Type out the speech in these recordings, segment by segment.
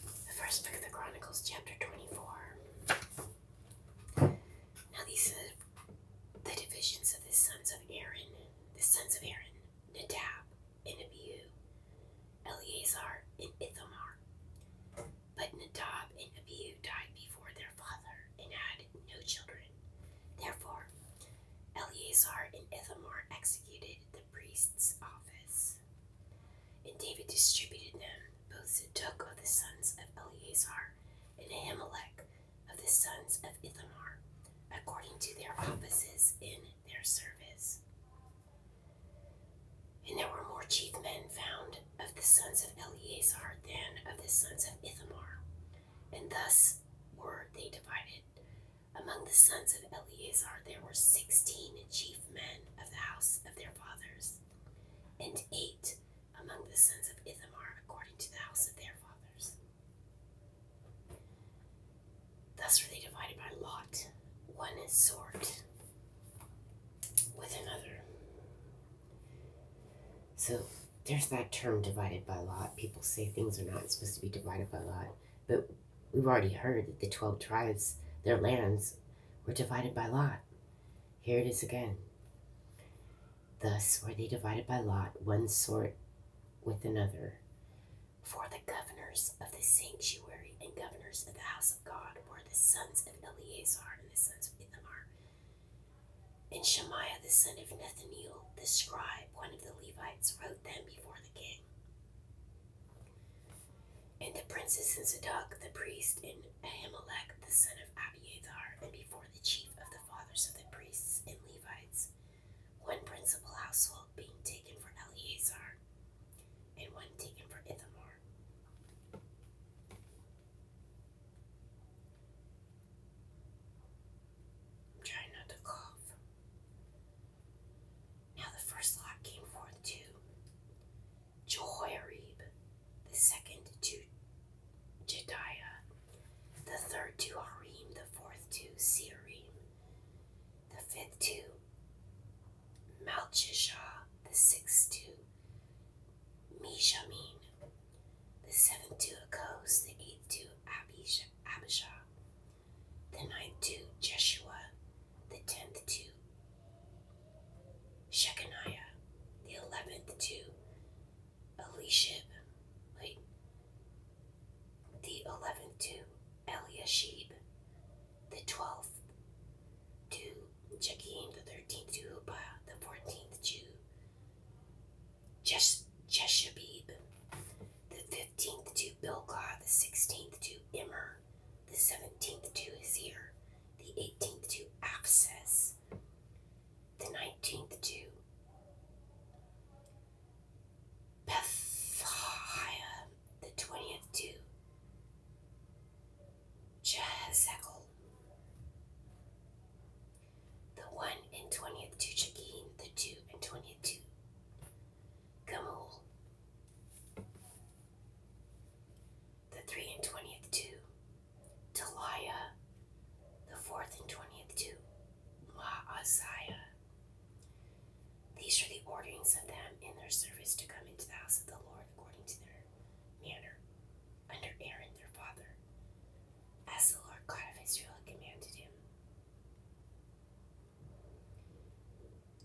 The first book of the Chronicles, chapter 24. Now these the divisions of the sons of Aaron, the sons of Aaron, Nadab and Abihu, Eleazar and Ithamar. But Nadab and Abihu died before their father and had no children. Therefore, Eleazar and Ithamar executed priest's office. And David distributed them, both Zadok of the sons of Eleazar and Ahimelech of the sons of Ithamar, according to their offices in their service. And there were more chief men found of the sons of Eleazar than of the sons of Ithamar, and thus were they divided among the sons of Eleazar there were sixteen chief men of the house of their fathers, and eight among the sons of Ithamar according to the house of their fathers. Thus were they divided by lot, one sort with another. So there's that term divided by lot. People say things are not supposed to be divided by lot, but we've already heard that the 12 tribes, their lands, were divided by lot. Here it is again. Thus were they divided by lot, one sort with another. For the governors of the sanctuary and governors of the house of God were the sons of Eleazar and the sons of Ithamar, and Shemaiah the son of Nethaneel, the scribe, one of the Levites, wrote them before the king. And the princes and Zadok the priest, and Ahimelech the son of Abiathar, and before the chief of the fathers of the priests and Levites, one principal household being taken for Eleazar, and one taken for Ithamar. Try not to cough. Now the first lot came forth to Jehoiarib, the second to Jediah, the third to Harim, the fourth to Searim, the fifth to Malchishah, the sixth to Mishamin. The seventh to Akos, the eighth to Abishah, the ninth to Jeshua, the tenth to Shechaniah, the eleventh to Elishib, wait, the eleventh to Eliashib, the 12th to Jagim, the 13th to Hubba, uh, the 14th to Jesh- Jeshabib, the 15th to Bilgah, the 16th to Immer, the 17th to Isir, the 18th to Apses, the 19th to Pethiah, the 20th to Jehezekel. The one and twentieth to Jachin, the two and twentieth to Gamul. The three and twentieth to Deliah. The fourth and twentieth to Maaziah. These are the orderings of them in their service to come into the house of the Lord according to their manner, under Aaron their father, as the Lord God of Israel commanded him.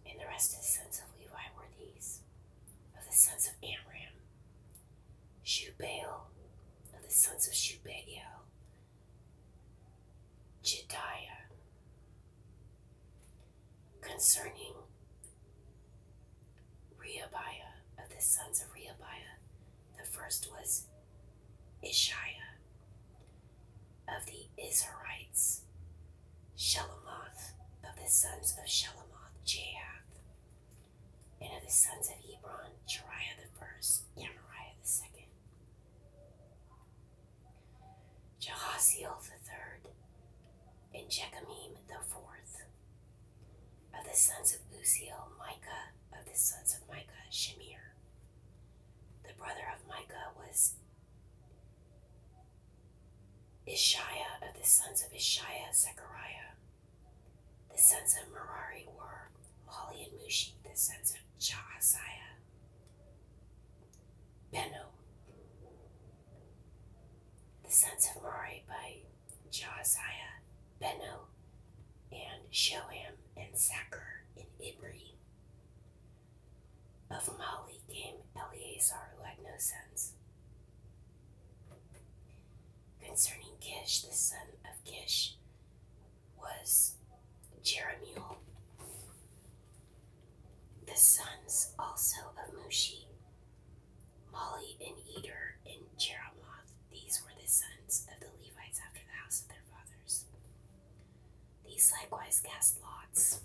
And the rest of the sons of Levi were these of the sons of Amram, Shubael, of the sons of Shubael, Jediah, Concerning Rehabiah of the sons of Rehabiah, the first was Ishiah of the Israelites, Shelamoth of the sons of Shelamoth, Jahath, and of the sons of Hebron, Jeriah the first, Amariah the second. Jehaziel the third, and Jechemim the fourth. Of the sons of Uziel, Micah. Of the sons of Micah, Shemir. The brother of Micah was Ishiah. Of the sons of Ishiah, Zechariah. The sons of Merari were Mali and Mushi. The sons of Jahaziah, Beno. The sons of Merari by Jahaziah, Beno, and Shoham and Zachar and Ibri. Of Mali came Eleazar, who had no sons. Concerning Kish, the son of Kish, was Jeremuel, the sons also of Mushi, Molly and Eder and Jeremoth. These were the sons of the Levites after the house of their fathers. These likewise cast lots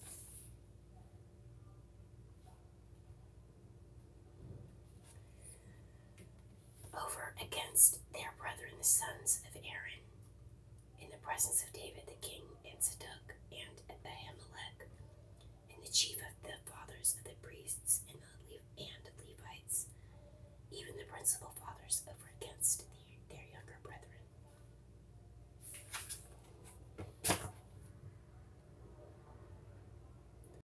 over against their brethren, the sons of Aaron, in the presence of David the king, and Zadok, and Ahimelech, and the chief of the fathers of the priests, and the Levites, even the principal fathers, over against their younger brethren.